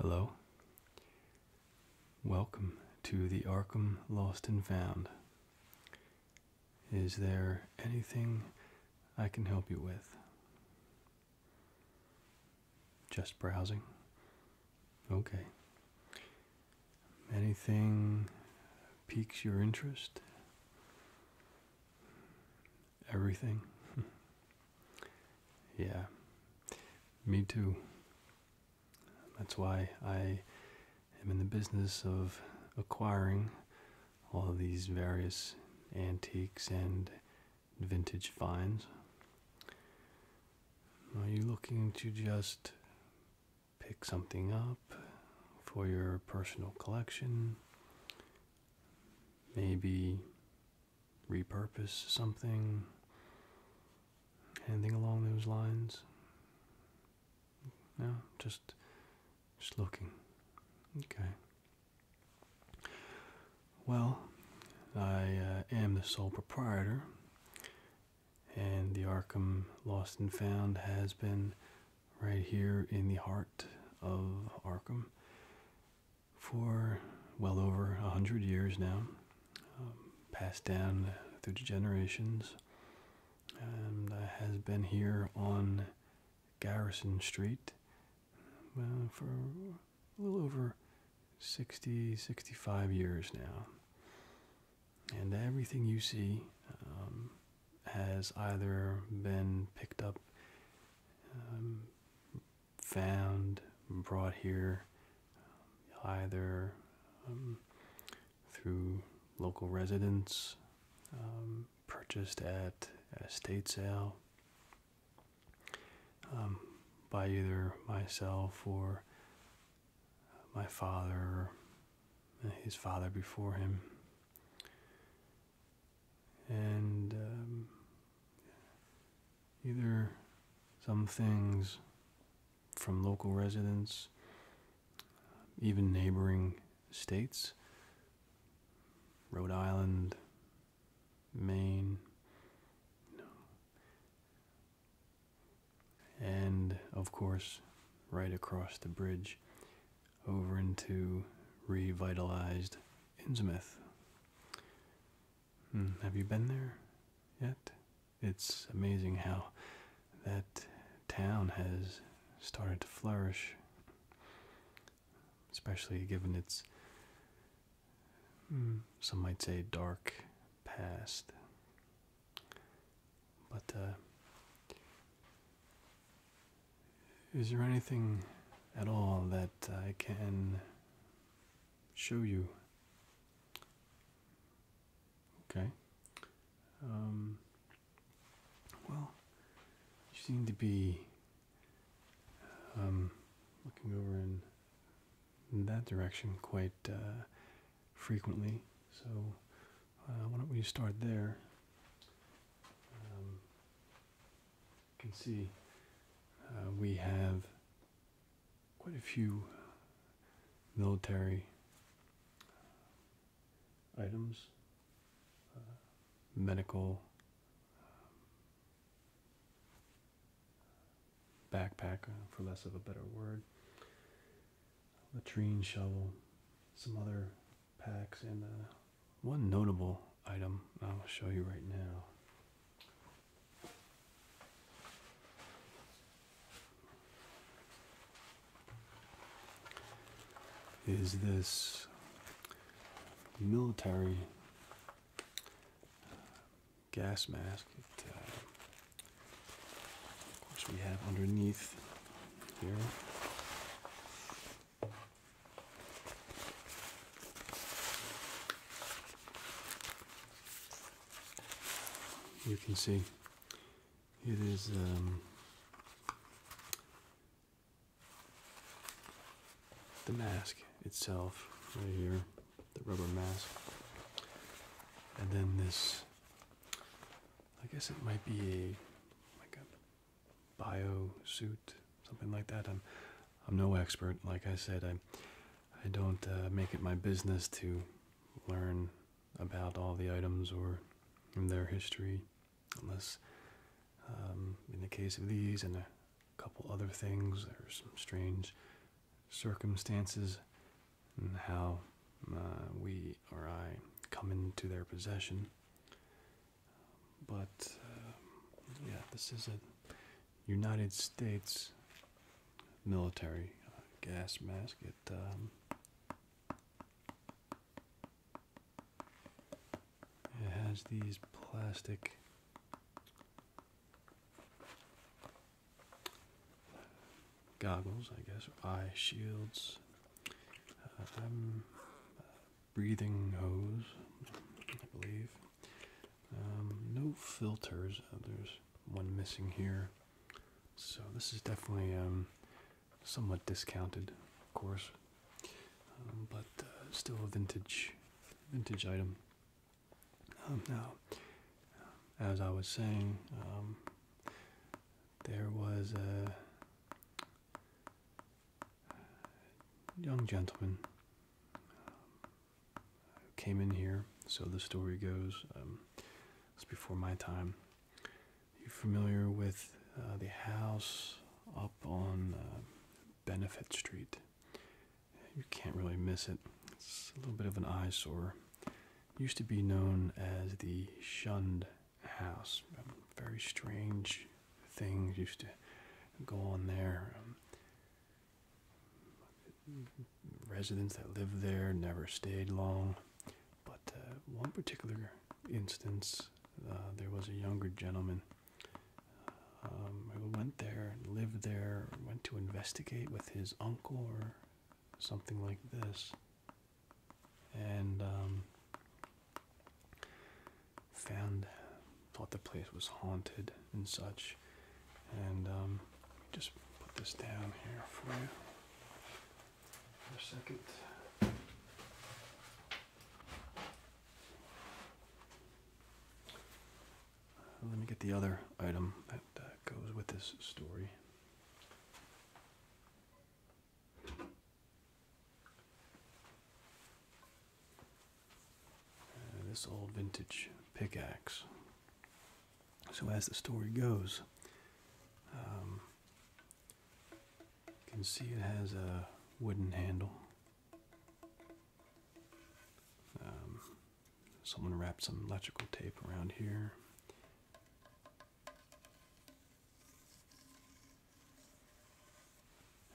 Hello. Welcome to the Arkham Lost and Found. Is there anything I can help you with? Just browsing? Okay. Anything piques your interest? everything. yeah, me too. That's why I am in the business of acquiring all of these various antiques and vintage finds. Are you looking to just pick something up for your personal collection? Maybe repurpose something. Anything along those lines? No, just just looking. Okay. Well, I uh, am the sole proprietor, and the Arkham Lost and Found has been right here in the heart of Arkham for well over a hundred years now, um, passed down through generations, and has been here on Garrison Street uh, for a little over 60, 65 years now. And everything you see um, has either been picked up, um, found, brought here, um, either um, through local residents, purchased at a state sale by either myself or uh, my father, his father before him and um, either some things from local residents, even neighboring states, Rhode Island, Maine, and of course, right across the bridge over into revitalized Innsmouth. Mm, have you been there yet? It's amazing how that town has started to flourish, especially given its, hmm, some might say, dark past. But uh, is there anything at all that I can show you? Okay. Um, well, you seem to be um, looking over in, that direction quite uh, frequently, so uh, why don't we start there? Um, you can see uh, we have quite a few military uh, items, uh, medical, um, backpack, for less of a better word, latrine shovel, some other packs. And uh, one notable item I'll show you right now. is this military uh, gas mask uh, of course we have underneath here you can see it is um, the mask itself right here, the rubber mask. And then this, I guess it might be a, oh bio suit, something like that. I'm, I'm no expert. Like I said, I, I don't uh, make it my business to learn about all the items or their history, unless, um, in the case of these and a couple other things, there are some strange circumstances and how uh, we or I come into their possession. But um, yeah, this is a United States military uh, gas mask. It um, it has these plastic goggles, I guess, eye shields. Uh, breathing hose, I believe. Um, no filters. Uh, there's one missing here. So this is definitely um, somewhat discounted, of course, um, but uh, still a vintage, vintage item. now, as I was saying, there was a uh, young gentleman uh, came in here. So the story goes. Um, it's before my time. You familiar with uh, the house up on uh, Benefit Street? You can't really miss it. It's a little bit of an eyesore. Used to be known as the Shunned House. Um, very strange things used to go on there. Um, residents that lived there never stayed long, but uh, one particular instance, uh, there was a younger gentleman um, who went there, lived there, went to investigate with his uncle or something like this, and um, found, thought the place was haunted and such. And um, just put this down here for you for a second. Uh, let me get the other item that uh, goes with this story. Uh, this old vintage pickaxe. So, as the story goes, um, you can see it has a wooden handle. Um, someone wrapped some electrical tape around here.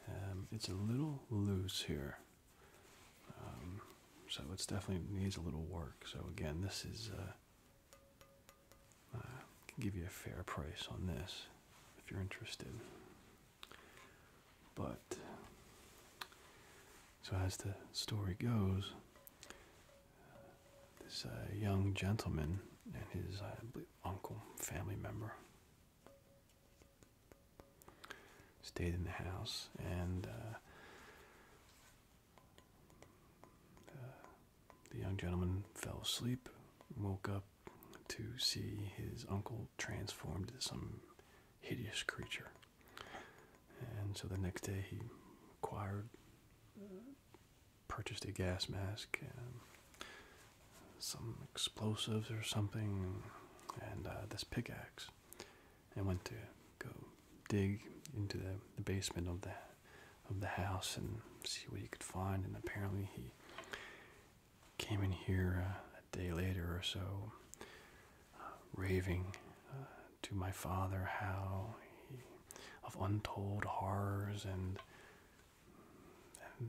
Um, it's a little loose here, um, so it's definitely needs a little work. So again, this is uh, uh, can give you a fair price on this if you're interested. But so as the story goes, this uh, young gentleman and his uh, uncle, family member, Stayed in the house and uh, the, young gentleman fell asleep, woke up to see his uncle transformed into some hideous creature. And so the next day he acquired, uh, purchased a gas mask, and some explosives or something, and uh, this pickaxe. and went to go dig into the, the basement of the of the house and see what he could find. And apparently he came in here uh, a day later or so, uh, raving to my father how of untold horrors and,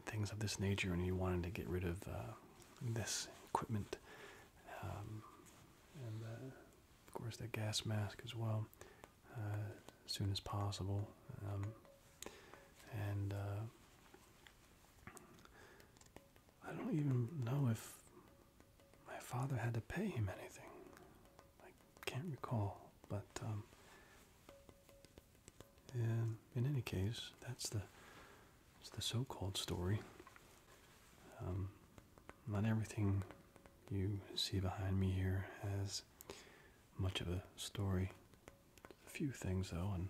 things of this nature, and he wanted to get rid of this equipment, um, and uh, of course the gas mask as well, as uh, soon as possible, um, and uh, I don't even know if my father had to pay him anything. I can't recall, but um, and in any case, that's the it's the so-called story. Um, not everything you see behind me here has much of a story. A few things though, and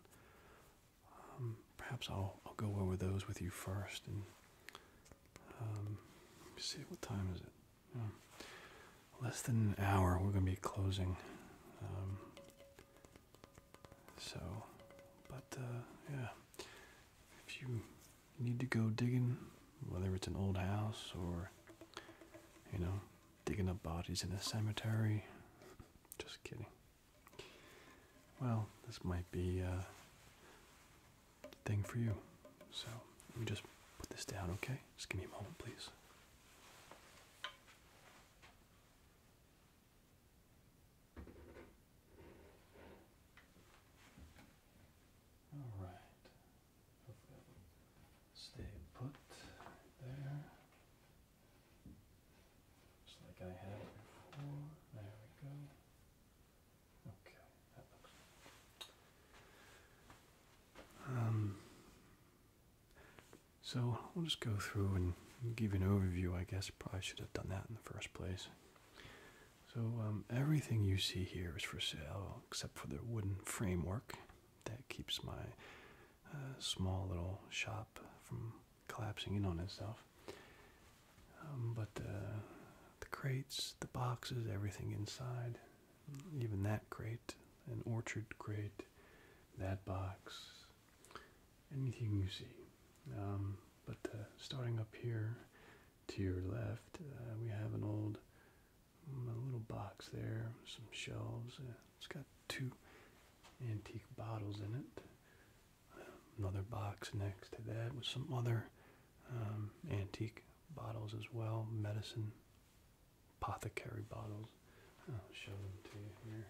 um, perhaps I'll I'll go over those with you first. And let um, me see what time is it. Less than an hour, we're going to be closing. So, but uh, yeah, if you need to go digging, whether it's an old house or, you know, digging up bodies in a cemetery, just kidding. Well, this might be a uh, thing for you. So, let me just put this down, okay? Just give me a moment, please. All right. Stay put there. Just like I had it before. There we go. Okay, that looks so I'll just go through and give you an overview. I guess probably should have done that in the first place. So um, everything you see here is for sale except for the wooden framework that keeps my uh, small little shop from collapsing in on itself. Um, but uh, the crates, the boxes, everything inside, even that crate, an orchard crate, that box, anything you see. Um, but uh, starting up here to your left, uh, we have an old mm, little box there, some shelves. Uh, it's got two antique bottles in it. Um, another box next to that with some other um, antique bottles as well, medicine apothecary bottles. I'll show them to you here.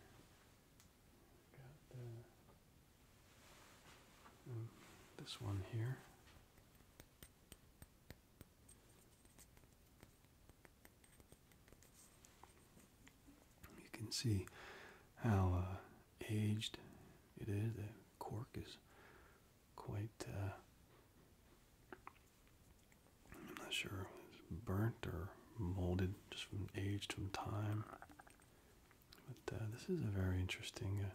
Mm, this one here. You can see how uh, aged it is. The cork is quite. Uh, I'm not sure burnt or molded just from age, from time. But uh, this is a very interesting. Uh,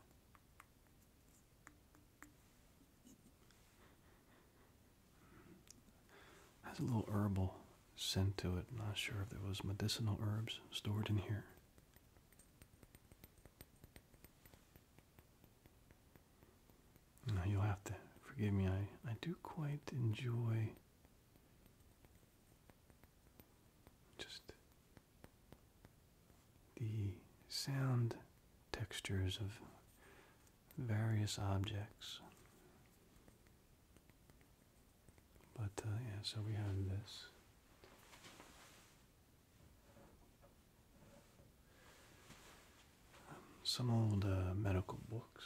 has a little herbal scent to it. I'm not sure if there was medicinal herbs stored in here. Now you'll have to forgive me. I I do quite enjoy just the sound textures of various objects. But uh, yeah, so we have this. some old uh, medical books.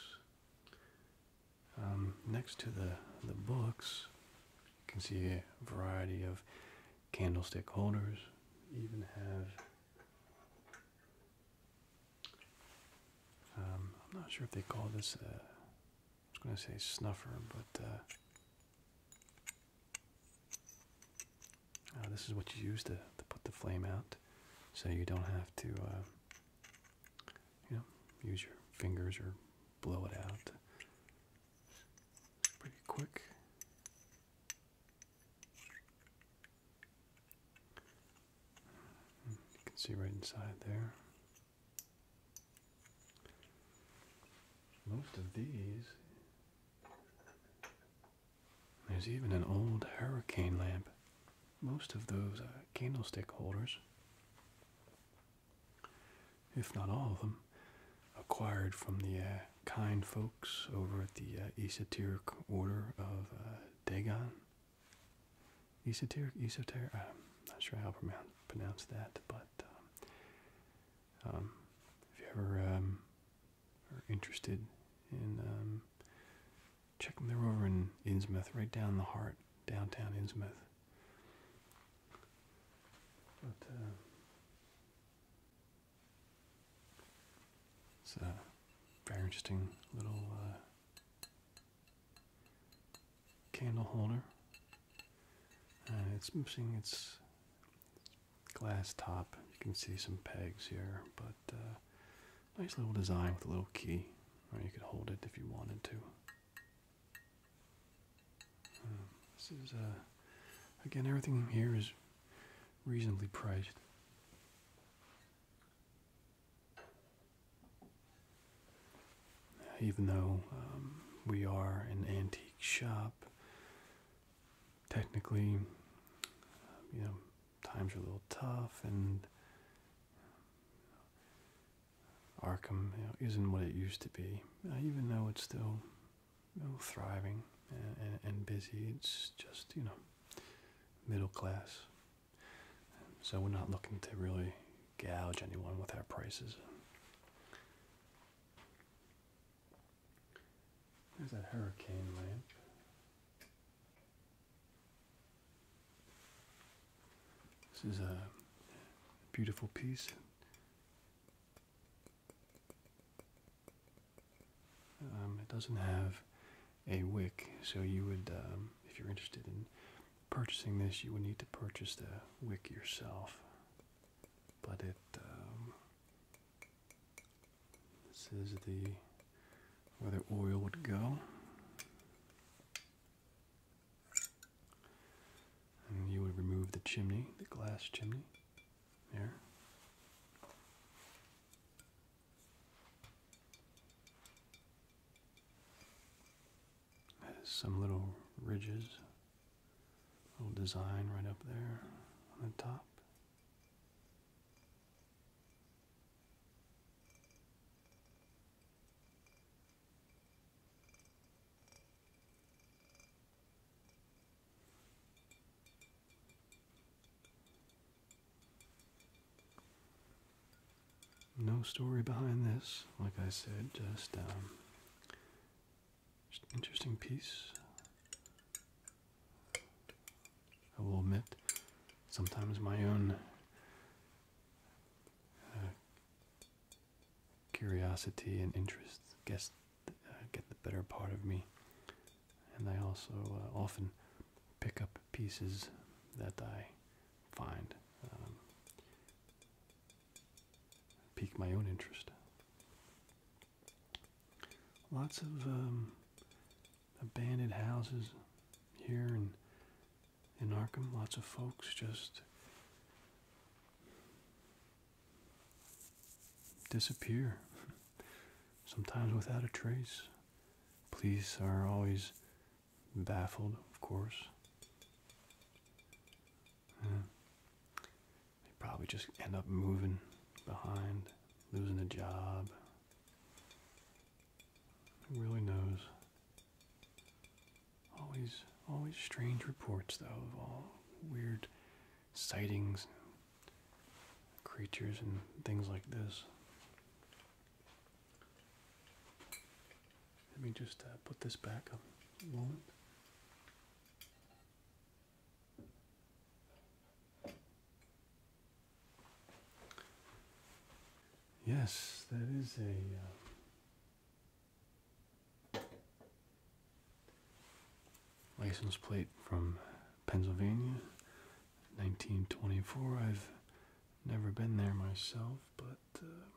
Um, next to the, the books, you can see a variety of candlestick holders. Even have, um, I'm not sure if they call this, a, I was going to say snuffer, but uh, uh, this is what you use to, to put the flame out so you don't have to uh, you know, use your fingers or blow it out. Pretty quick. You can see right inside there. Most of these. There's even an old hurricane lamp. Most of those are candlestick holders if not all of them, acquired from the uh, kind folks over at the uh, esoteric order of uh, Dagon. Esoteric, esoteric, I'm not sure how to pronounce that, but um, um, if you ever um, are interested in checking, they're over in Innsmith, right down the heart, downtown Innsmith. But uh, it's a very interesting little uh, candle holder. it's missing its glass top. You can see some pegs here, but uh, nice little design with a little key. Or you could hold it if you wanted to this is, uh, again, everything here is reasonably priced. Even though um, we are an antique shop, technically, you know, times are a little tough and Arkham isn't what it used to be, uh, even though it's still thriving and, and busy. It's just you know middle class, so we're not looking to really gouge anyone with our prices. There's that hurricane lamp. This is a beautiful piece. Um, it doesn't have a wick, so you would, um, if you're interested in purchasing this, you would need to purchase the wick yourself. But it, um, this is the where the oil would go. And you would remove the chimney, the glass chimney, there. there's some little ridges, little design right up there on the top. No story behind this, like I said, just, um, interesting piece. I will admit, sometimes my own uh, curiosity and interest gets, uh, get the better part of me. And I also uh, often pick up pieces that I find um, pique my own interest. Lots of um, abandoned houses here and in Arkham. Lots of folks just disappear, sometimes without a trace. Police are always baffled, of course. They probably just end up moving behind, losing a job. Who really knows? Always, always strange reports, though, of all weird sightings, creatures, and things like this. Let me just uh, put this back up moment. Yes, that is a uh, License plate from Pennsylvania, 1924. I've never been there myself, but um,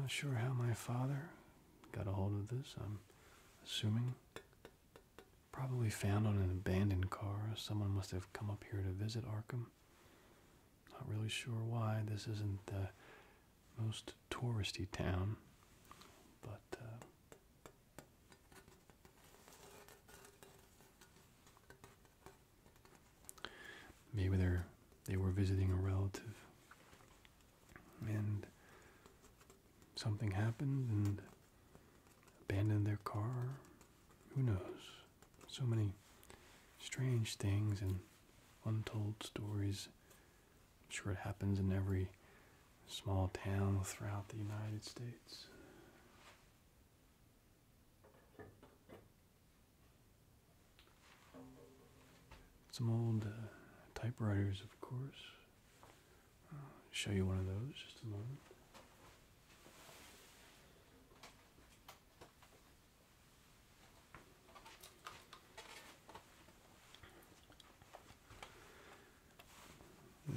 not sure how my father got a hold of this. I'm assuming probably found on an abandoned car. Someone must have come up here to visit Arkham. Not really sure why this isn't the most touristy town, but uh, maybe they're they were visiting a relative and something happened and abandoned their car who knows so many strange things and untold stories. I'm sure it happens in every small town throughout the United States. Some old uh, typewriters, of course. I'll show you one of those just a moment.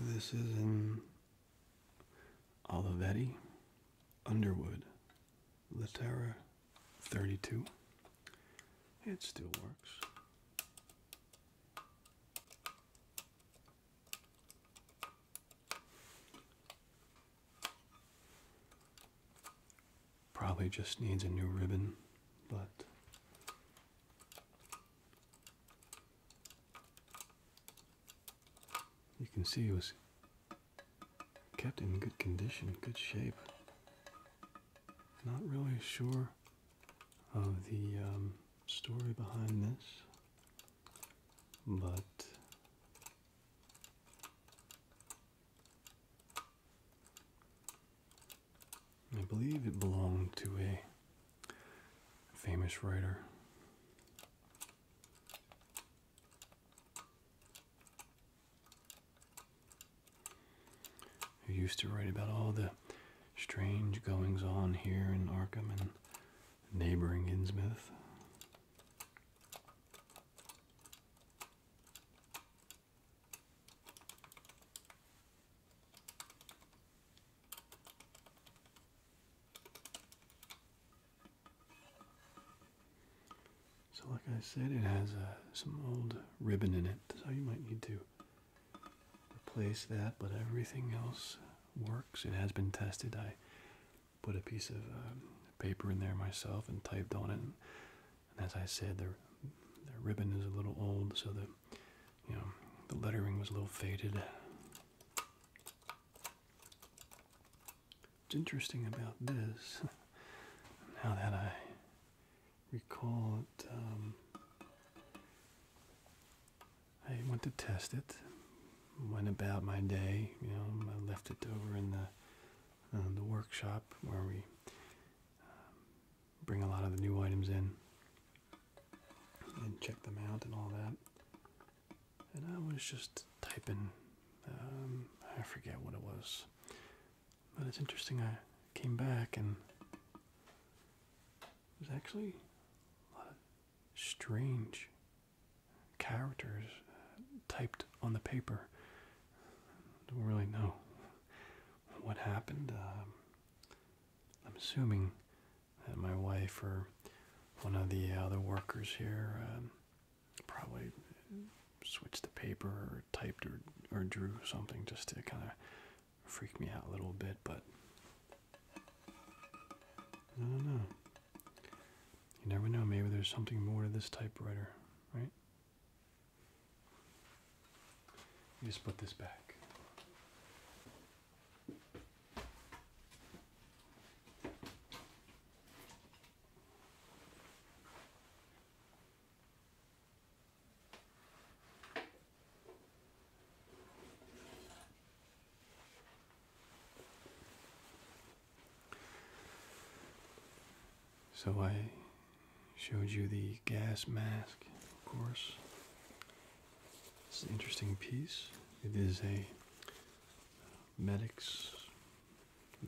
This is in Olivetti, Underwood, Litera 32. It still works. Probably just needs a new ribbon, but you can see it was kept in good condition, good shape. Not really sure of the um, story behind this, but I believe it belonged to a famous writer. Who used to write about all the strange goings on here in Arkham and neighboring Innsmouth? So like I said, it has uh, some old ribbon in it, so you might need to replace that, but everything else works. It has been tested. I put a piece of um, paper in there myself and typed on it and as I said, the, ribbon is a little old, so the you know the lettering was a little faded. What's interesting about this, now that I recall it, um, I went to test it, went about my day. You know, I left it over in the uh, the workshop where we um, bring a lot of the new items in and check them out and all that. And I was just typing, um, I forget what it was, but it's interesting. I came back and there's actually a lot of strange characters uh, typed on the paper don't really know what happened. Um, I'm assuming that my wife or one of the other workers here um, probably switched the paper or typed or, or drew something just to kind of freak me out a little bit, but I don't know. You never know. Maybe there's something more to this typewriter, right? You just put this back. So I showed you the gas mask, of course. It's an interesting piece. It is a medic's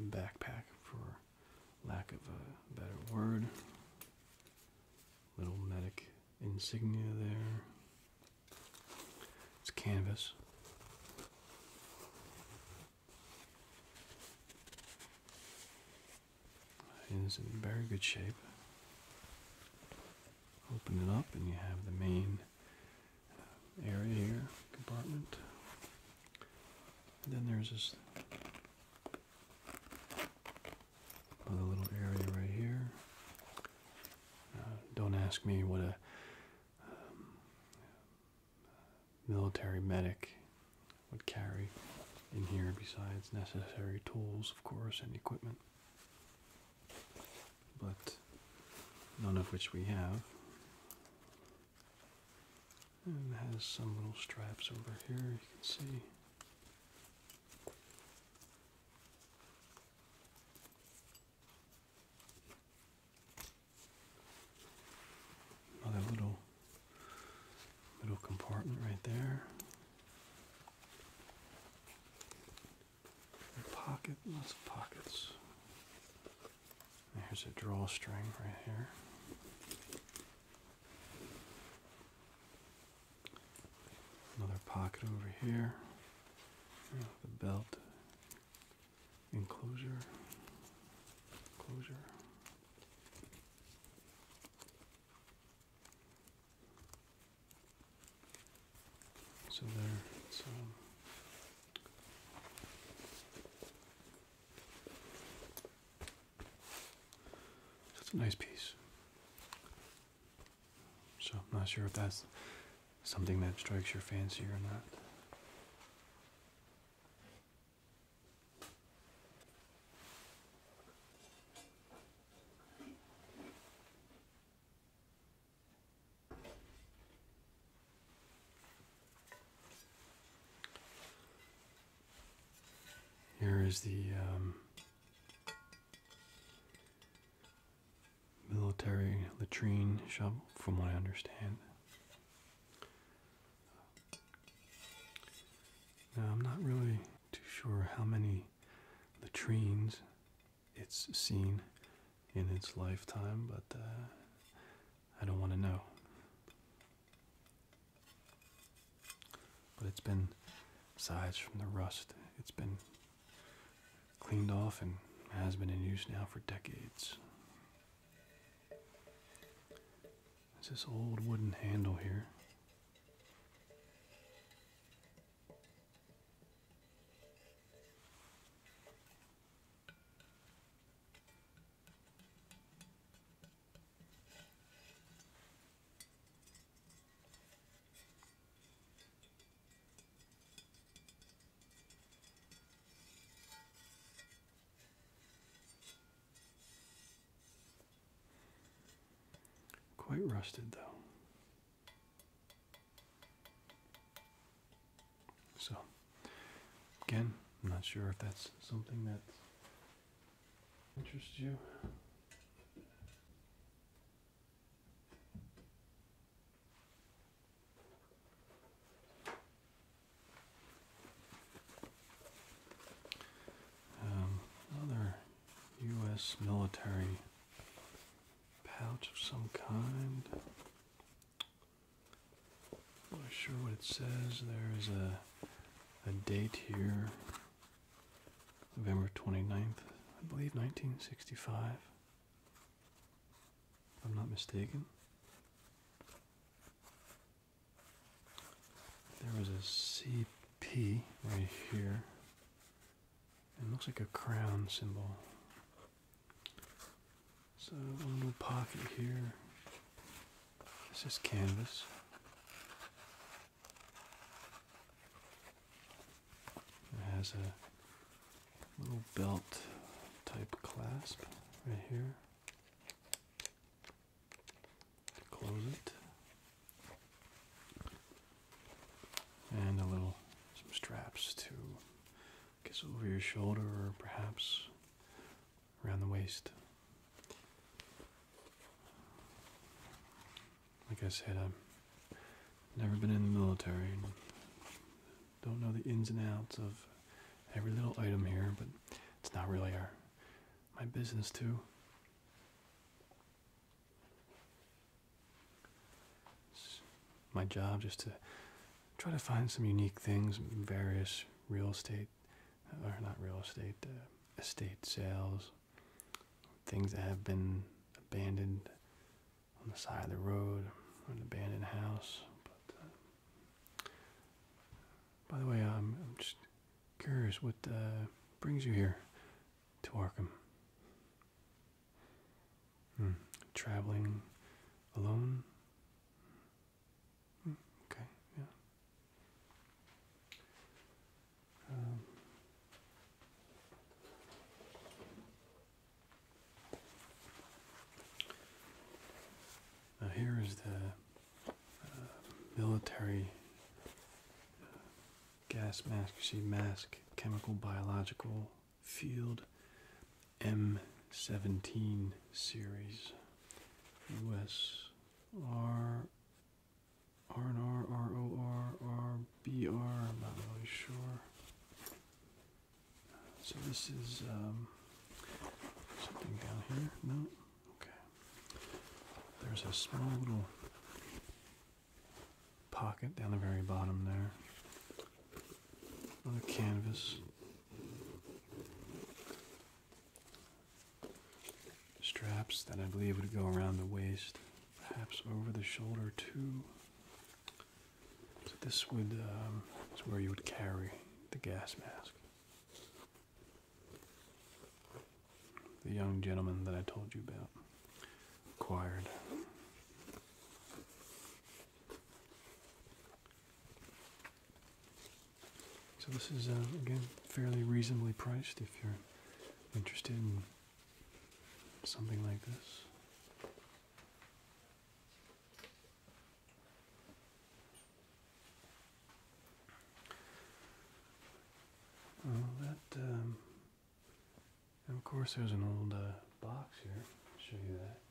backpack, for lack of a better word. Little medic insignia there. It's canvas. It is in very good shape. Open it up, and you have the main uh, area here, compartment. then there's this other little area right here. Uh, don't ask me what a um, military medic would carry in here, besides necessary tools, of course, and equipment. But none of which we have. And has some little straps over here, you can see. Another little Middle compartment right there. Pocket, lots of pockets. here's a drawstring right here. Another pocket over here. The belt enclosure. Closure. So there, it's, that's a nice piece. So I'm not sure if that's something that strikes your fancy or not. Here is the um, military latrine shovel, from what I understand. Now, I'm not really too sure how many latrines it's seen in its lifetime, but uh, I don't want to know. But it's been, besides from the rust, it's been cleaned off and has been in use now for decades. It's this old wooden handle here. Quite rusted though. So, again, I'm not sure if that's something that interests you. Um, another U.S. military pouch of some kind. I'm not sure what it says. There is a, a date here, November 29th, I believe 1965, if I'm not mistaken. There was a CP right here. It looks like a crown symbol. So a little pocket here. This is canvas. It has a little belt type clasp right here. Close it. And a little, some straps to guess over your shoulder or perhaps around the waist. Like I said, I've never been in the military and don't know the ins and outs of every little item here, but it's not really our my business too. my job just to try to find some unique things, various real estate, uh, or not real estate, uh, estate sales, things that have been abandoned on the side of the road, or an abandoned house. But uh, by the way, I'm just Curious what uh, brings you here to Arkham? Hmm. Traveling alone? Hmm, okay, yeah. Um, now here is the uh, military uh, gas mask, you see mask, chemical, biological, field, M17 series, US, R, R and R, R O R, R B R, I'm not really sure. So this is um, something down here, no? Okay. There's a small little pocket down the very bottom there. On the canvas. Straps that I believe would go around the waist, perhaps over the shoulder too. So this would um, is where you would carry the gas mask. The young gentleman that I told you about acquired. So this is uh, again fairly reasonably priced if you're interested in something like this. Um, of course, there's an old uh, box here. i show you that.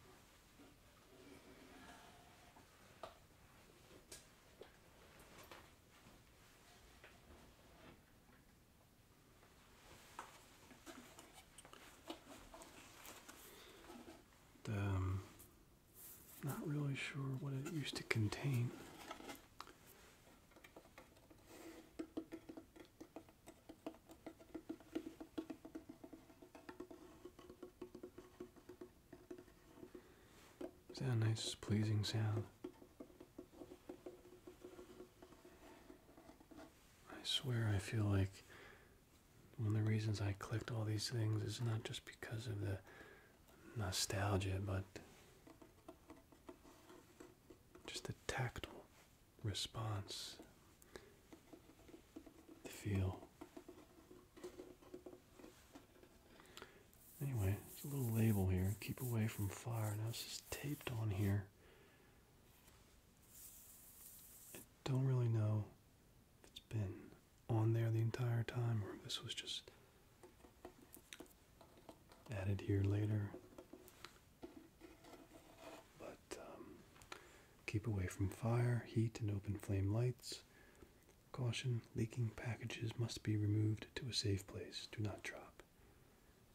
Um, not really sure what it used to contain. Is that a nice, pleasing sound? I swear I feel like one of the reasons I clicked all these things is not just because of the nostalgia, but just a tactile response the feel. Anyway, it's a little label here. Keep away from fire. Now this is taped on here. I don't really know if it's been on there the entire time or this was just added here later. But um, keep away from fire, heat, and open flame lights. Caution, leaking packages must be removed to a safe place. Do not drop.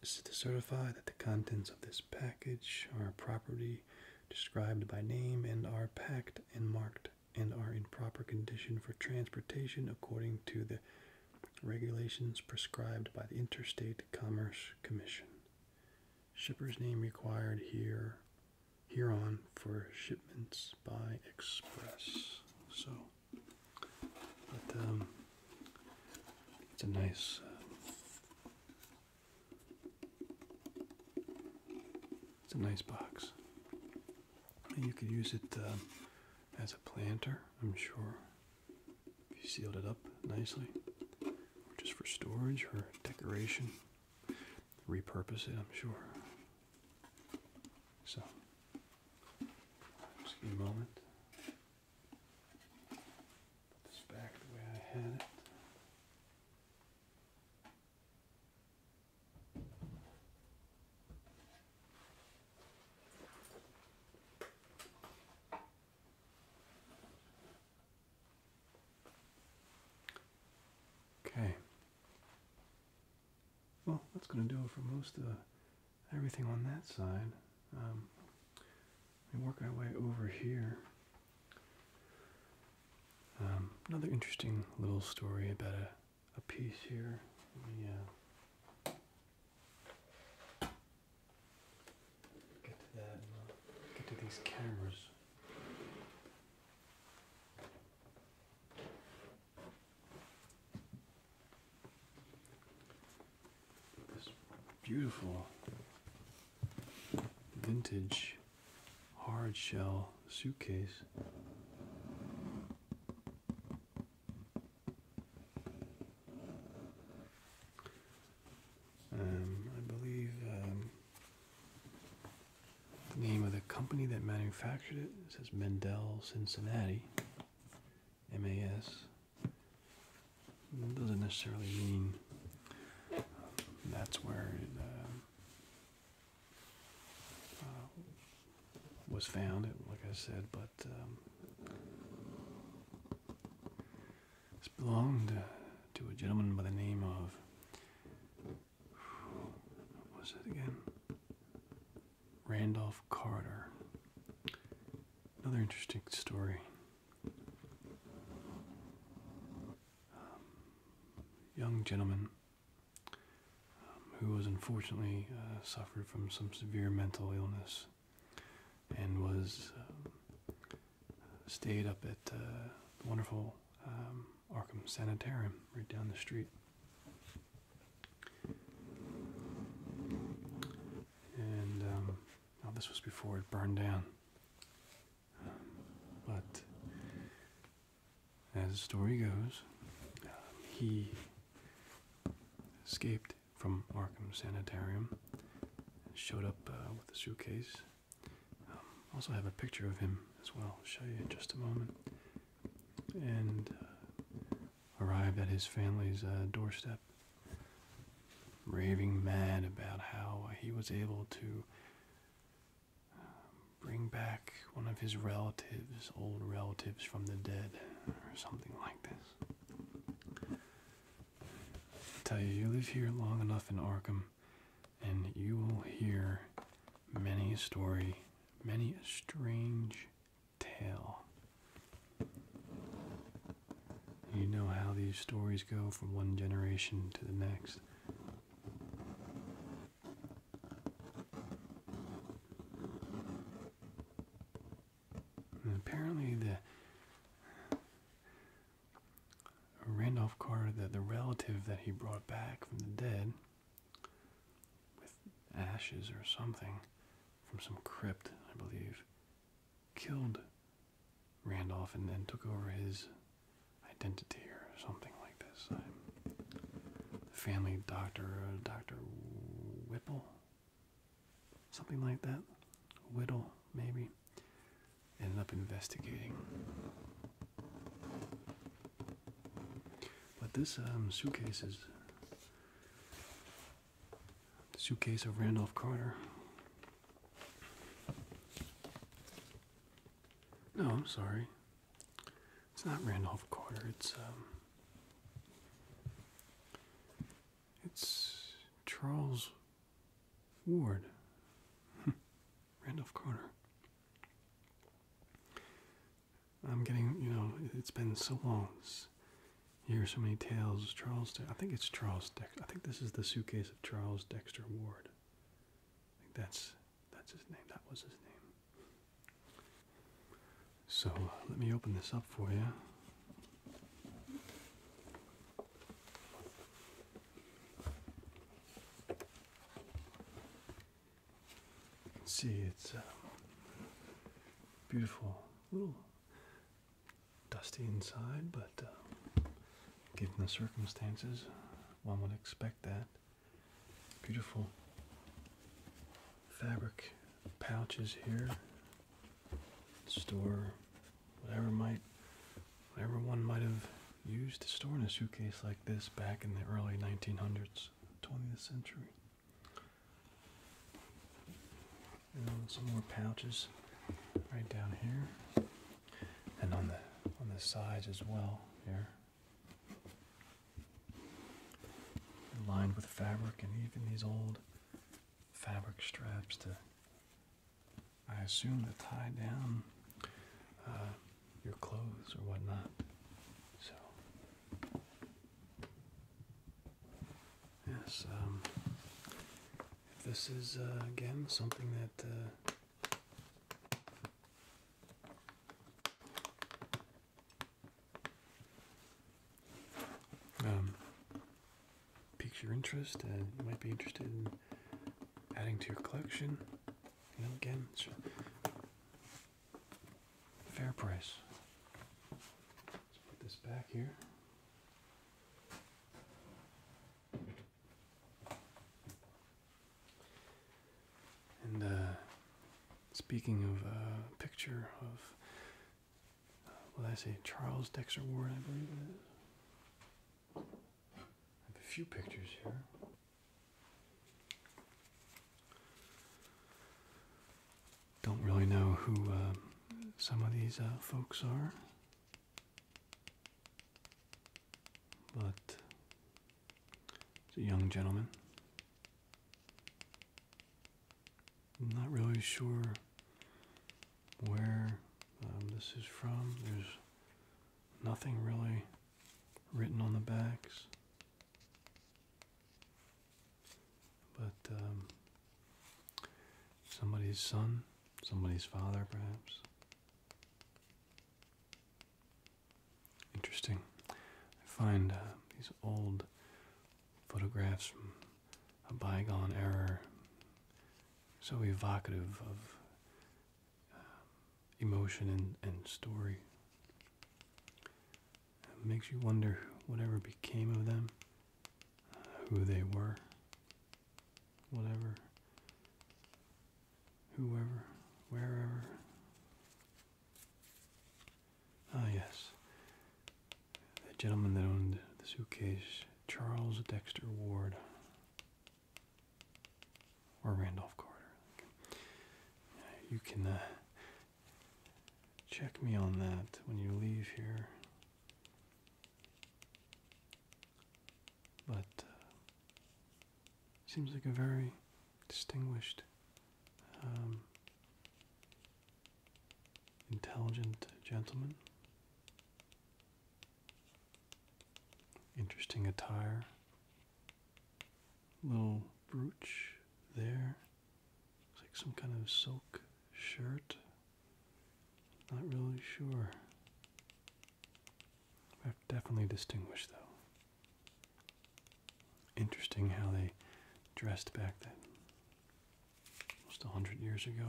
to certify that the contents of this package are property described by name and are packed and marked and are in proper condition for transportation according to the regulations prescribed by the Interstate Commerce Commission. Shipper's name required here hereon for shipments by express. So, but um, it's a nice. Uh, it's a nice box. you could use it um, as a planter, I'm sure. If you sealed it up nicely, or just for storage or decoration, repurpose it, I'm sure. So, just a moment. Put this back the way I had it. Okay. Well, that's going to do it for most of everything on that side. we um, work our way over here. Um, another interesting little story about a a piece here. Yeah. Uh, get to that. Uh, get to these cameras. This beautiful vintage hard shell suitcase. Um, I believe um, the name of the company that manufactured it, says Mendel Cincinnati, MAS. doesn't necessarily mean that's where it uh, uh, was found, like I said, but but um, belonged to a gentleman by the name of what was it again? Randolph Carter. Another interesting story. Um, young gentleman um, who was unfortunately uh, suffered from some severe mental illness and was um, stayed up at uh, the wonderful um, Arkham Sanitarium right down the street. And now this was before it burned down. but as the story goes, he escaped from Arkham Sanitarium and showed up uh, with a suitcase. Um, also have a picture of him as well. show you in just a moment. And uh, arrived at his family's uh, doorstep, raving mad about how he was able to bring back one of his relatives, old relatives from the dead or something like this. I tell you, you live here long enough in Arkham, and you will hear many a story, many a strange tale. You know how these stories go from one generation to the next apparently, the Randolph Carter, the, the relative that he brought back from the dead with ashes or something from some crypt, I believe, killed Randolph and then took over his identity or something like this. family doctor, uh, Dr. Whipple, Something like that. Whittle, maybe. Ended up investigating. But this um, suitcase is suitcase of Randolph Carter. No, I'm sorry. It's not Randolph Carter. It's um, it's Charles Ward, hmm. Randolph Carter. I'm getting, you know, it's been so long. It's, hear so many tales. Charles, I think it's Charles Dexter. I think this is the suitcase of Charles Dexter Ward. I think that's that's his name. That was his name. So uh, let me open this up for you. You can see it's uh, beautiful, little dusty inside, but uh, given the circumstances, one would expect that. Beautiful fabric pouches here. Store whatever might whatever one might have used to store in a suitcase like this back in the early 1900s, 20th century. And some more pouches right down here, and on the on the sides as well here lined with fabric and even these old fabric straps to I assume to tie down uh, your clothes or whatnot. So yes, um, this is uh, again something that uh, um, piques your interest and you might be interested in adding to your collection. again, fair price. Let's put this back here. And uh, speaking of a uh, picture of well, I say? Charles Dexter Ward, I believe I have a few pictures here. Don't really know who uh, some of these uh, folks are, but it's a young gentleman. I'm not really sure where um, this is from. There's nothing really written on the backs. But um, somebody's son, somebody's father, perhaps. Interesting. I find uh, these old photographs from a bygone era, so evocative of uh, emotion and, story. It makes you wonder whatever became of them, uh, who they were, whatever, whoever, wherever. Ah, yes. The gentleman that owned the suitcase, Charles Dexter Ward. Or Randolph Carter. You can uh, check me on that when you leave here. But uh, seems like a very distinguished um, intelligent gentleman. Interesting attire. Little brooch there. Looks like some kind of silk shirt. Not really sure. Definitely distinguished though. Interesting how they dressed back then almost 100 years ago.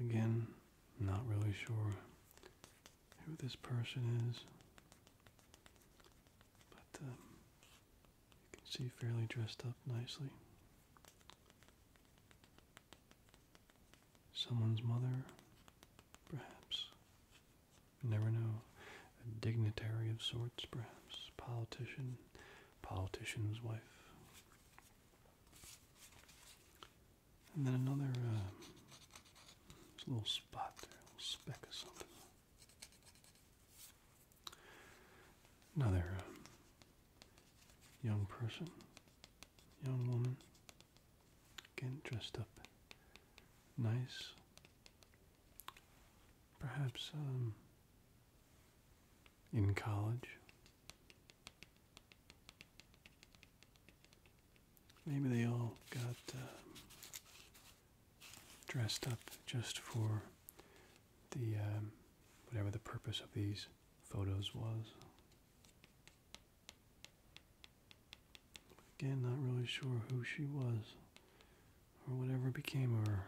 Again, not really sure who this person is, but um, you can see fairly dressed up nicely. Someone's mother, perhaps. never know. A dignitary of sorts, perhaps. Politician politician's wife. And then another uh, little spot there, a little speck of something. Another uh, young person, young woman, getting dressed up nice. Perhaps um, in college. Maybe they all got um, dressed up just for the um, whatever the purpose of these photos was. Again, not really sure who she was or whatever became of her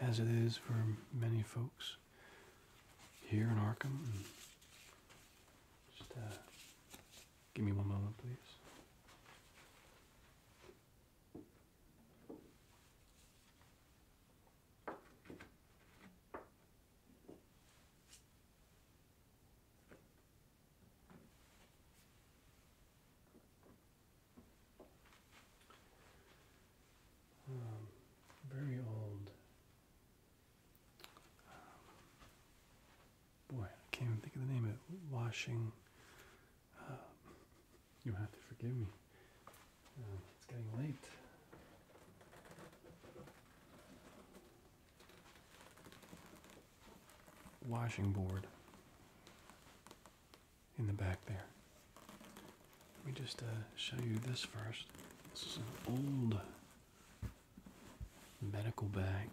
as it is for many folks here in Arkham. just uh, give me one moment, please. Um, very old. Um, boy, I can't even think of the name of it. Washing. Um, you have to forgive me. it's getting late washing board in the back there. Let me just uh, show you this first. This is an old medical bag.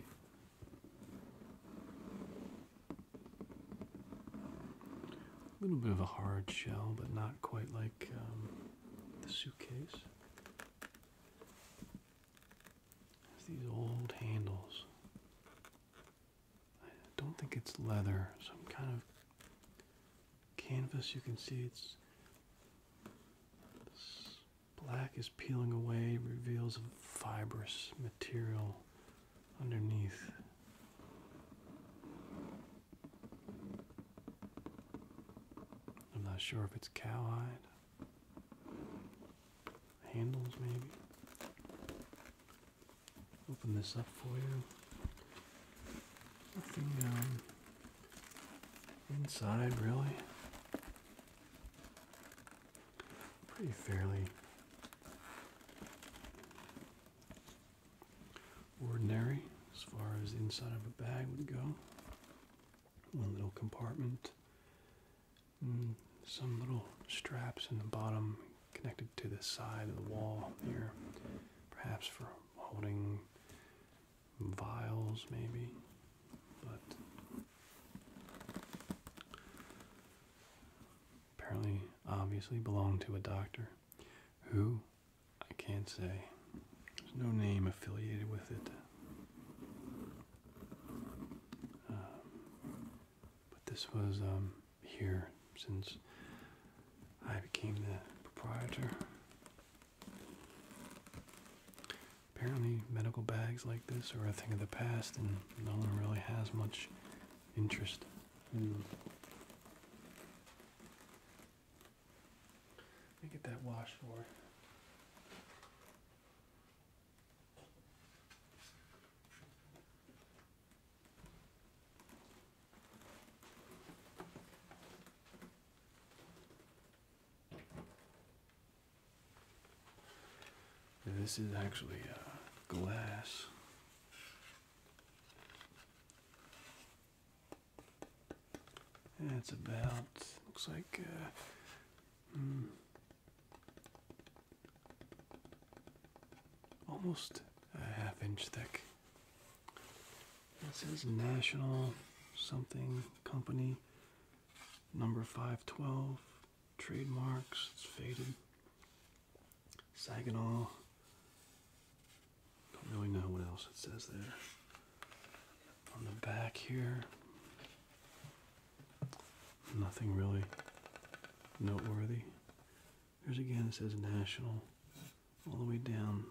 A little bit of a hard shell, but not quite like um, the suitcase. It's these old handles. I don't think it's leather, some kind of canvas. You can see it's black is peeling away, reveals a fibrous material underneath. I'm not sure if it's cowhide handles maybe. Open this up for you. Nothing um, inside really. Pretty fairly ordinary as far as the inside of a bag would go. One little compartment Mm, some little straps in the bottom connected to the side of the wall here, perhaps for holding vials, maybe. But apparently, obviously, belonged to a doctor who I can't say. There's no name affiliated with it. Um, but this was um, here since I became the proprietor. Apparently, medical bags like this are a thing of the past, and no one really has much interest in them. Let me get that washed for this is actually uh, glass. That's about looks like uh, hmm, almost a half inch thick. It says National Something Company, number 512, trademarks, it's faded. Saginaw. Don't really know what else it says there. On the back here, nothing really noteworthy. There's again, it says national, all the way down.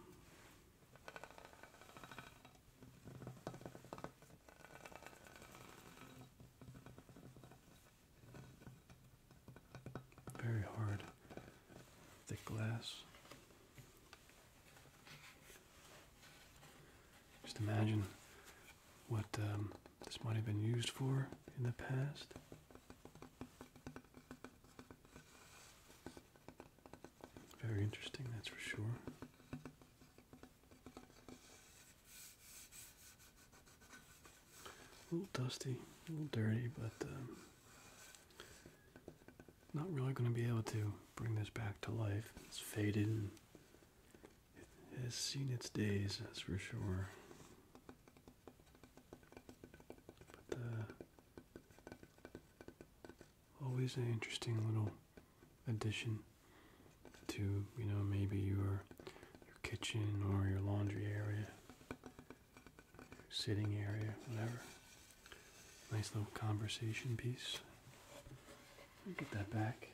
Very hard, thick glass. Just imagine what um, this might have been used for in the past. Very interesting, that's for sure. A little dusty, a little dirty, but um, not really going to be able to bring this back to life. It's faded it has seen its days, that's for sure. But uh, always an interesting little addition to, you know, maybe your your kitchen or your laundry area, sitting area, whatever. Nice little conversation piece. get that back.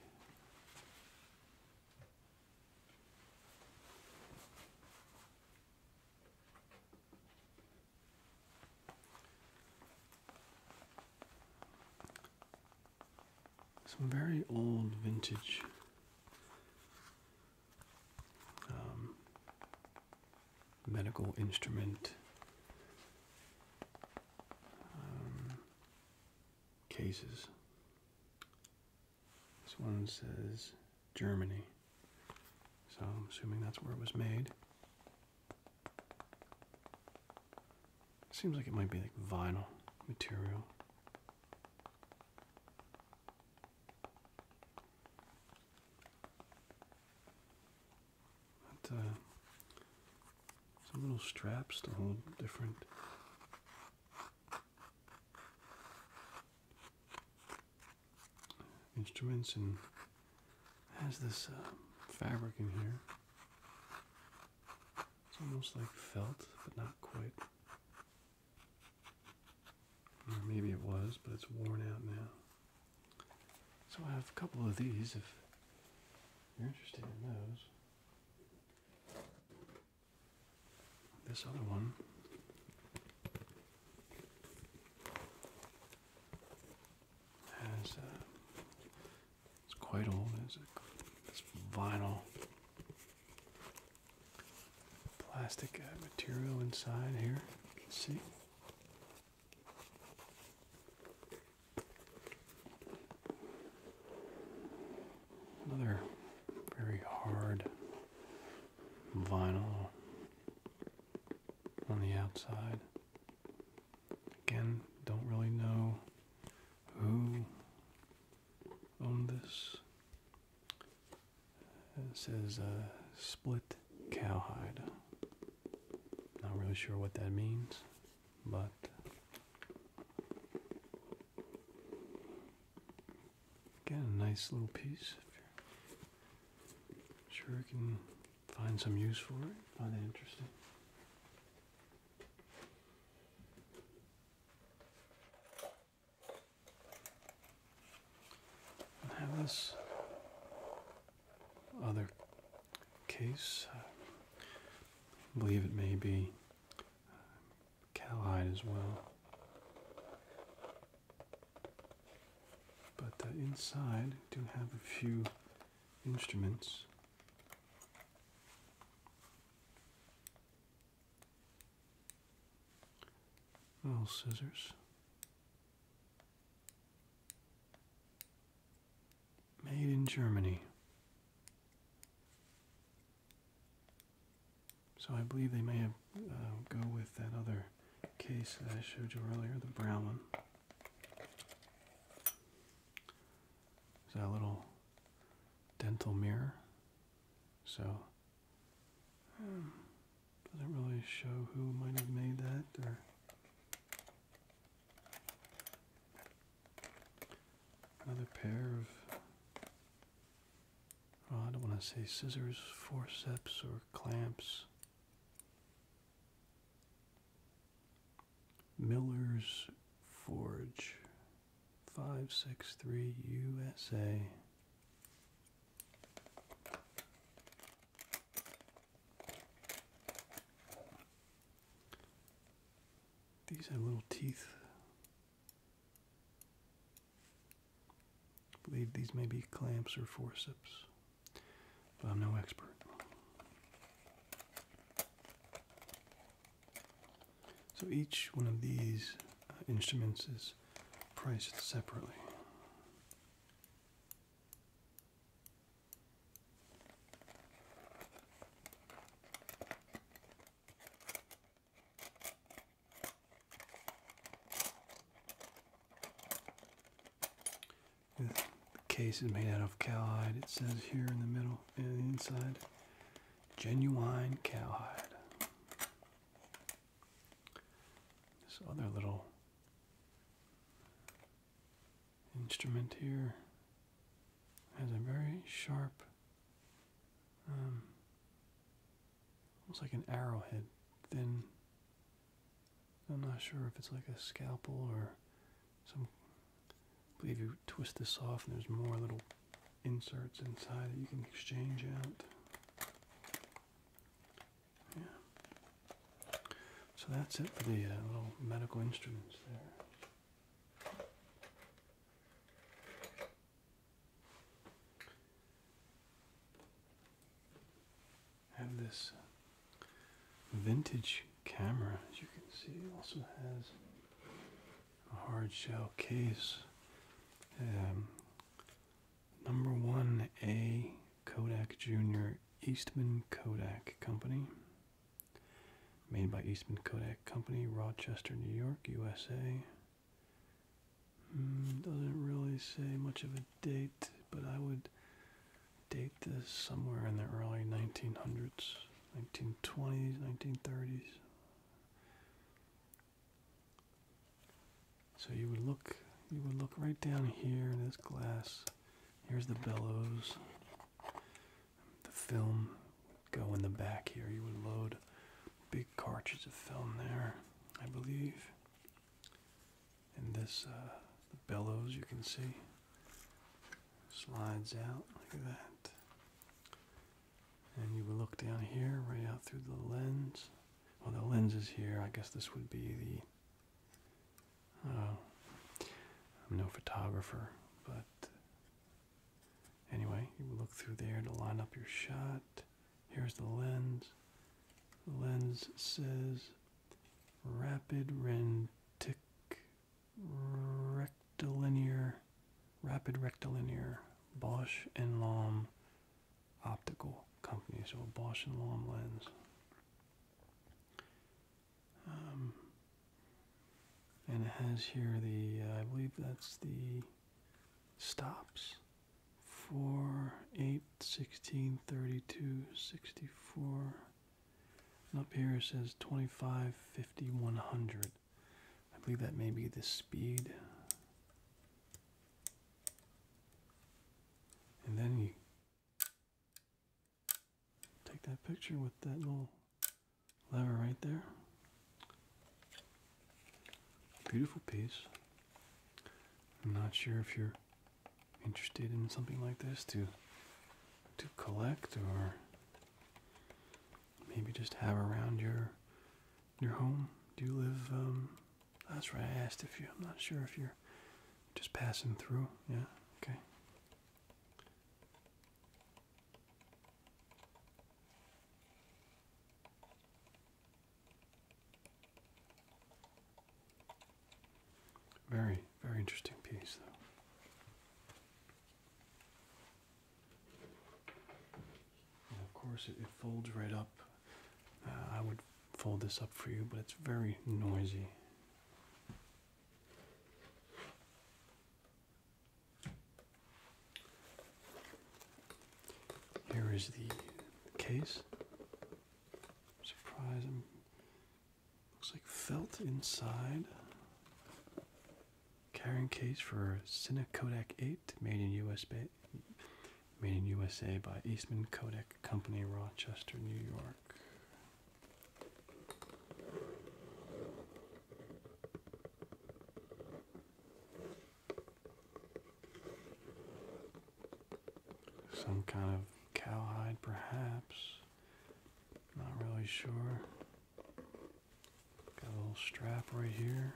Some very old vintage um, medical instrument um, cases. This one says Germany. So I'm assuming that's where it was made. Seems like it might be like vinyl material. Uh, some little straps to hold different instruments and has this uh, fabric in here. It's almost like felt, but not quite. maybe it was, but it's worn out now. So I have a couple of these if you're interested in those. This other one has uh, it's quite old. It's, a it's vinyl plastic uh, material inside here. You can see. Another very hard vinyl on the outside. Again, don't really know who owned this. It says uh, split cowhide. Not really sure what that means, but Again, a nice little piece. If you're sure you can find some use for it, find it interesting. have this other case. I believe it may be uh, cowhide as well. But inside, do have a few instruments. Little scissors. Made in Germany. So I believe they may uh, go with that other case that I showed you earlier, the brown one. Is that a little dental mirror? So hmm, doesn't really show who might have made that or another pair of Oh, I don't want to say scissors, forceps, or clamps. Miller's Forge 563 USA. These are little teeth I believe these may be clamps or forceps, but I'm no expert. So each one of these uh, instruments is priced separately. The case is made out of cowhide, it says here in the middle and inside. Genuine cowhide. This other little instrument here has a very sharp um, Almost like an arrowhead. Thin. I'm not sure if it's like a scalpel or some. believe you twist this off and there's more little inserts inside that you can exchange out. Yeah. So that's it for the uh, little medical instruments there. Have this vintage camera, as you can see, also has a hard shell case. Um, number one A Kodak Jr. Eastman Kodak Company. Made by Eastman Kodak Company, Rochester, New York, USA. Mm, doesn't really say much of a date, but I would date this somewhere in the early 1900s, 1920s, 1930s. So you would look, you would look right down here in this glass. Here's the bellows. The film would go in the back here. You would load big cartridge of film there, I believe. And this, uh, the bellows you can see slides out like that. And you would look down here, right out through the lens. Well, the lens is here. I guess this would be the. Uh, I'm no photographer, but anyway, you would look through there to line up your shot. Here's the lens. The lens says rapid rentic rectilinear rapid rectilinear Bosch and Lom optical company. So Bosch and Lom lens. Um, and it has here the, uh, I believe that's the stops. 4, 8, 16, 32, 64. up here it says 25, 50, 100. I believe that may be the speed. And then you take that picture with that little lever right there. Beautiful piece. I'm not sure if you're interested in something like this to to collect or maybe just have around your your home. Do you live um, that's where I asked if you I'm not sure if you're just passing through. Yeah, okay. Very, very interesting piece, though. And of course, it, it folds right up. Uh, I would fold this up for you, but it's very noisy. Here is the case. Surprise! looks like felt inside. Carrying case for Cine Kodak 8, made in USA, made in USA by Eastman Kodak Company, Rochester, New York. Some kind of cowhide, perhaps. Not really sure. Got a little strap right here.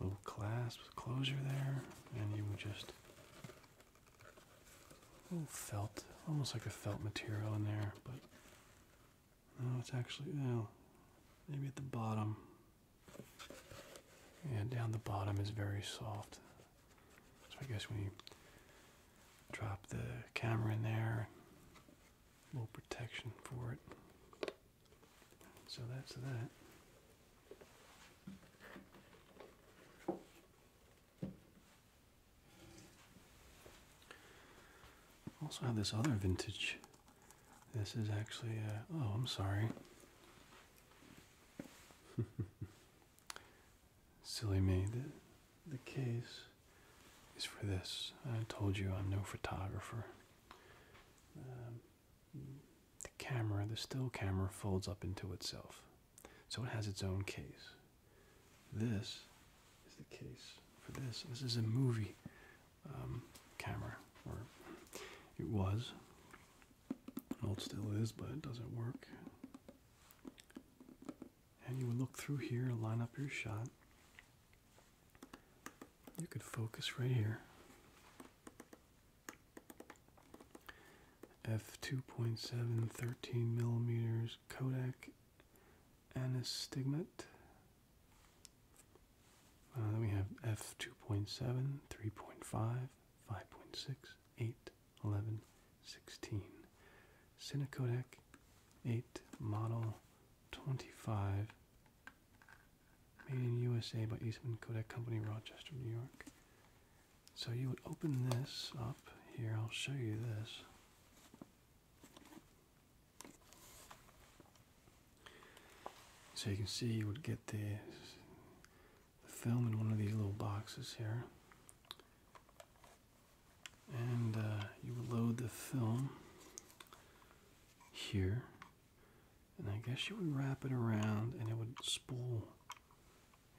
Little clasp closure there, and you would just a felt, almost like a felt material in there, but no, it's actually no. Maybe at the bottom. Yeah, down the bottom is very soft. So I guess when you drop the camera in there, a little protection for it. So that's that. Also have this other vintage. This is actually uh, oh, I'm sorry. Silly me. The, the case is for this. I told you I'm no photographer. Um, the camera, the still camera, folds up into itself. So it has its own case. This is the case for this. This is a movie um, camera, or it was. Well, it still is, but it doesn't work. And you would look through here, line up your shot. You could focus right here. f 2.7 13 millimeters Kodak Anastigmat. Uh, then we have f2.7, 3.5, 5.6, 8, 11, 16. Cinecodac 8 Model 25. Made in USA by Eastman Kodak Company, Rochester, New York. So you would open this up here. I'll show you this. So you can see you would get the, film in one of these little boxes here. And uh, you would load the film here. And I guess you would wrap it around and it would spool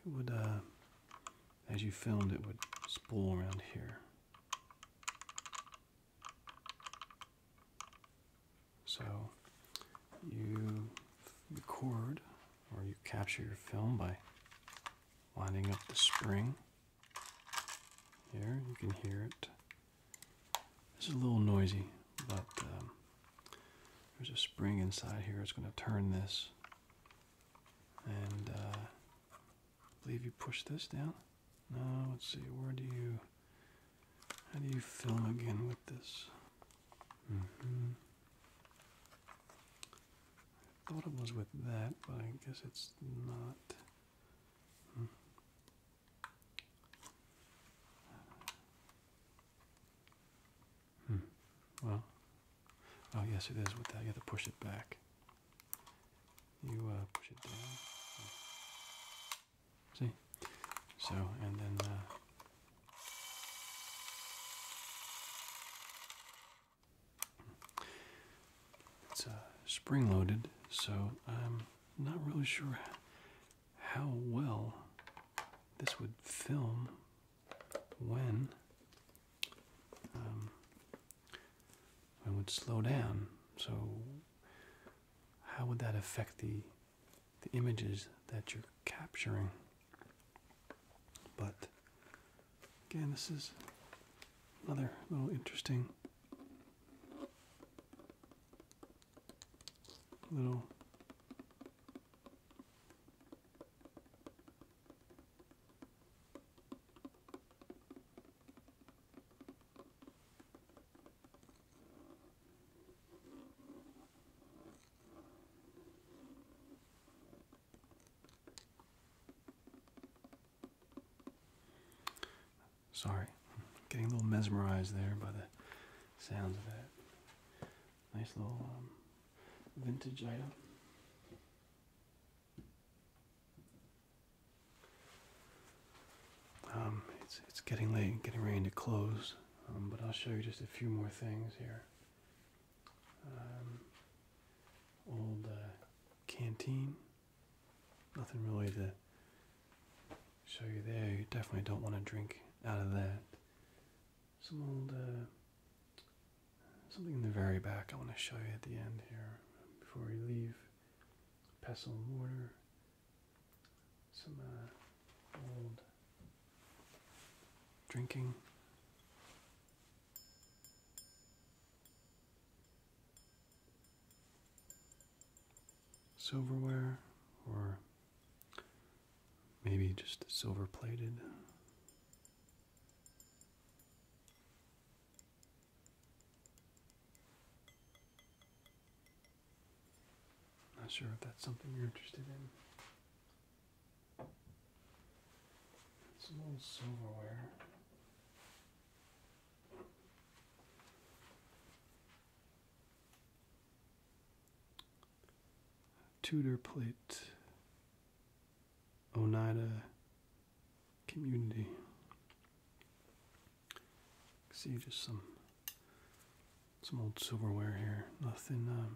it would, uh, as you filmed, it would spool around here. So you record or you capture your film by winding up the spring. Here, you can hear it. It's a little noisy, but um, there's a spring inside here. It's going to turn this and uh, I believe you push this down. No, let's see. Where do you? How do you film again with this? Mm-hmm. I thought it was with that, but I guess it's not. Hmm. hmm. Well, Oh yes, it is with that. You have to push it back. You uh, push it down. See? So, and then. Uh, it's a uh, spring loaded, so I'm not really sure how well this would film when um, I would slow down. So how would that affect the the images that you're capturing? But again, this is another little interesting little Sorry, getting a little mesmerized there by the sounds of that. Nice little um, vintage item. Um, it's it's getting late, getting ready to close, um, but I'll show you just a few more things here. Um, old uh, canteen, nothing really to show you there. You definitely don't want to drink out of that. Some old uh, something in the very back I want to show you at the end here before we leave. Pestle and mortar, some uh, old drinking. Silverware, or maybe just silver plated. Not sure if that's something you're interested in. It's a little silverware. Tudor plate Oneida community. See just some some old silverware here. Nothing um,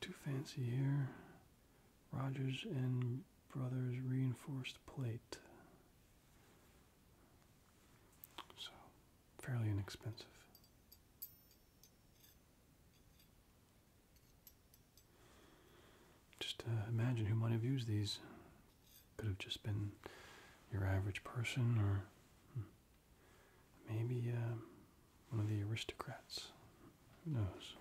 too fancy here. Rogers and Brothers reinforced plate. So fairly inexpensive. Just uh, imagine who might have used these. Could have just been your average person or hmm, maybe um, one of the aristocrats. Who knows?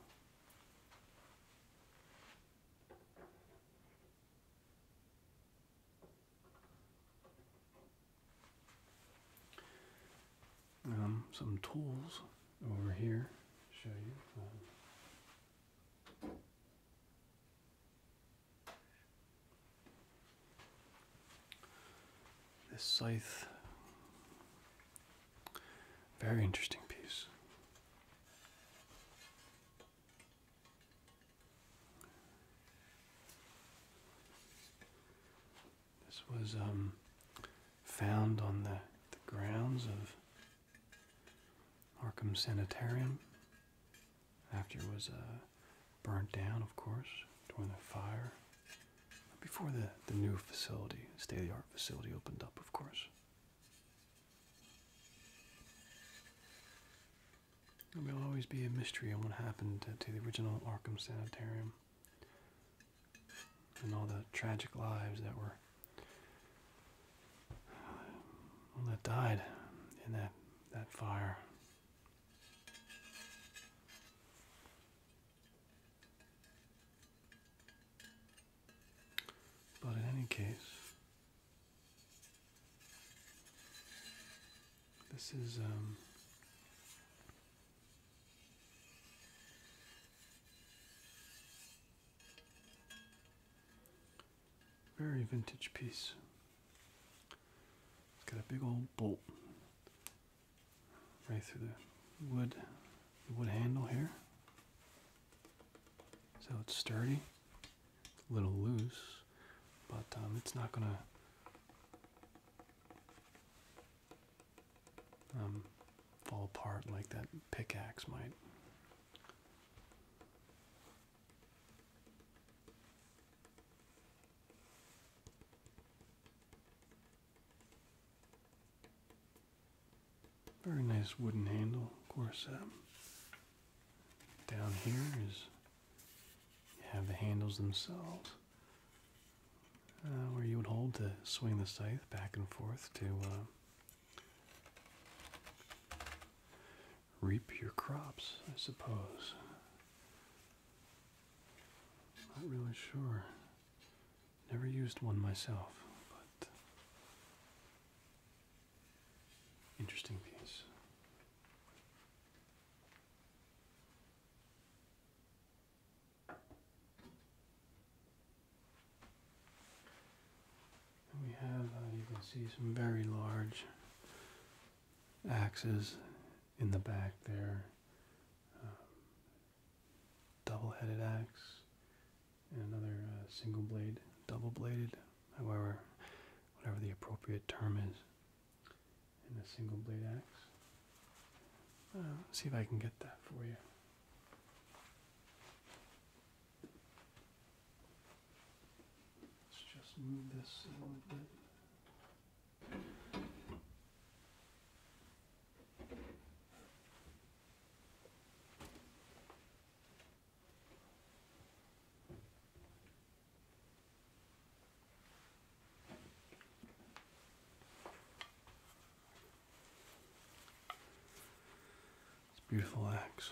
Um, some tools over here. Show you. this scythe, very interesting piece. This was um, found on the, grounds of Arkham Sanitarium after it was uh, burnt down, of course, during the fire. Before the, the new facility, state of the art facility, opened up, of course. It will always be a mystery on what happened to, the original Arkham Sanitarium and all the tragic lives that were that died in that that fire. But in any case, this is um, very vintage piece. It's got a big old bolt right through the wood, the wood handle here. So it's sturdy, a little loose, but um, it's not gonna um, fall apart like that pickaxe might. Very nice wooden handle, of course. Um, down here is have the handles themselves uh, where you would hold to swing the scythe back and forth to uh, reap your crops, I suppose. Not really sure. Never used one myself, but interesting piece we have, uh, you can see some very large axes in the back there. Um, double-headed axe and another uh, single blade, double-bladed, however, whatever the appropriate term is and a single blade axe. Uh, see if I can get that for you. Let's just move this a little bit. It's beautiful axe.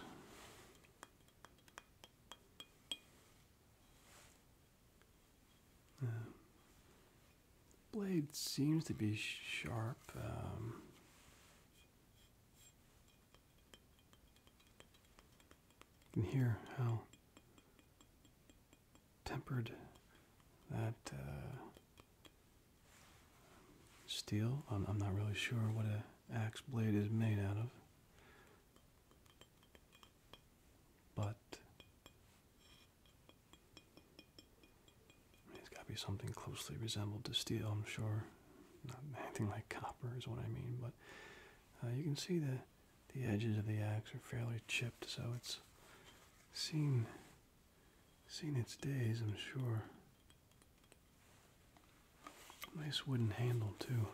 Uh, blade seems to be sharp. Um, you can hear how tempered that uh, steel. I'm, not really sure what an axe blade is made out of, but it's got to be something closely resembled to steel, I'm sure. Not anything like copper is what I mean, but uh, you can see that the edges of the axe are fairly chipped, so it's seen seen its days, I'm sure. Nice wooden handle too.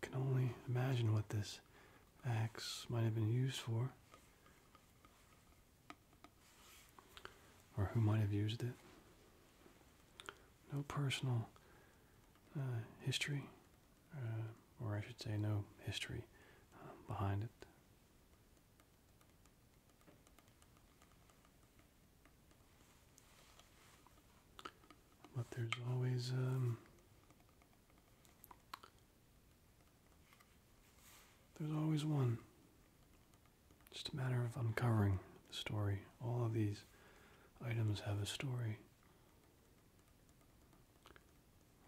Can only imagine what this axe might have been used for. Or who might have used it. No personal uh, history uh, or I should say, no history um, behind it. But there's always um, there's always one. Just a matter of uncovering the story. All of these items have a story,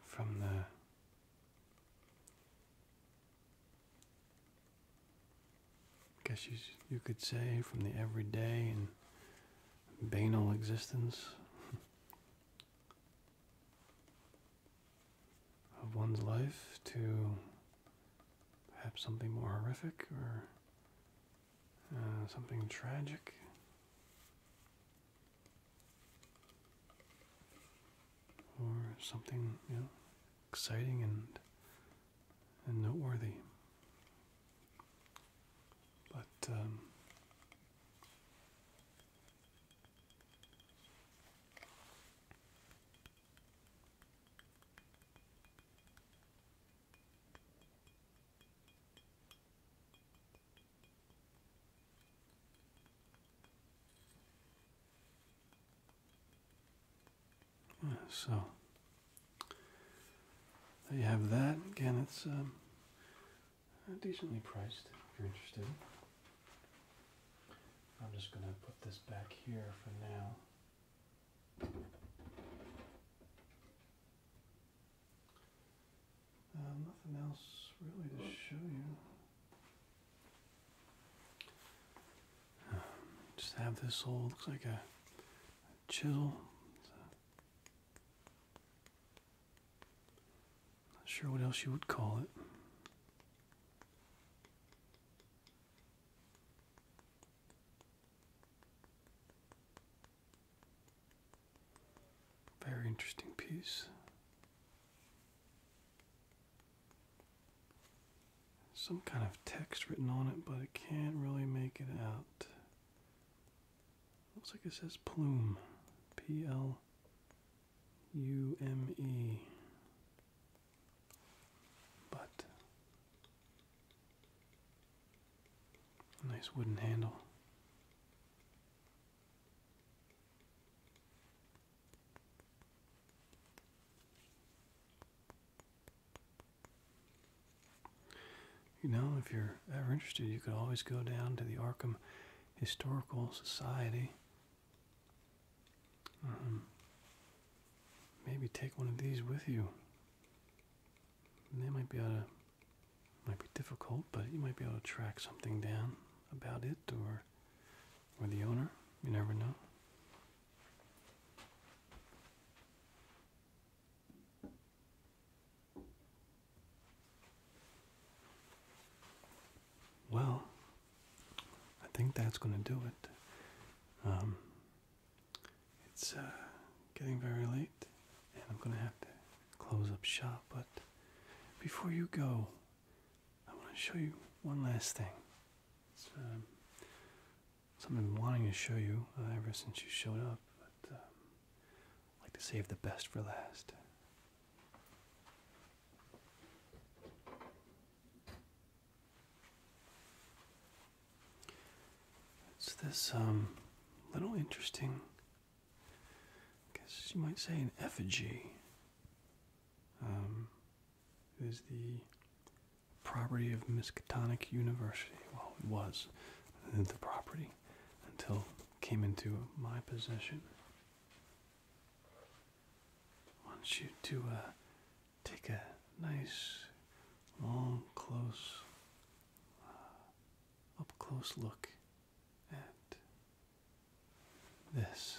from the guess you, you could say from the everyday and banal existence of one's life to perhaps something more horrific or uh, something tragic. Or something, you know, exciting and and noteworthy. But um, so there you have that. Again, it's um, decently priced if you're interested. I'm just going to put this back here for now. Uh, nothing else really to show you. just have this old, looks like a, a chisel. not sure what else you would call it. Very interesting piece. Some kind of text written on it, but I can't really make it out. Looks like it says plume. P L U M E. But nice wooden handle. You know, if you're ever interested, you could always go down to the Arkham Historical Society. Mm-hmm. maybe take one of these with you. And they might be able might be difficult, but you might be able to track something down about it or or the owner. You never know. Well, I think that's going to do it. Um, it's uh, getting very late, and I'm gonna have to close up shop. But before you go, I want to show you one last thing. It's, um, something I've been wanting to show you uh, ever since you showed up. But um, I like to save the best for last. It's this um, little interesting I guess you might say an effigy um, is the property of Miskatonic University. Well, it was the property until it came into my possession. I want you to uh, take a nice, long, close, uh, up close look and this.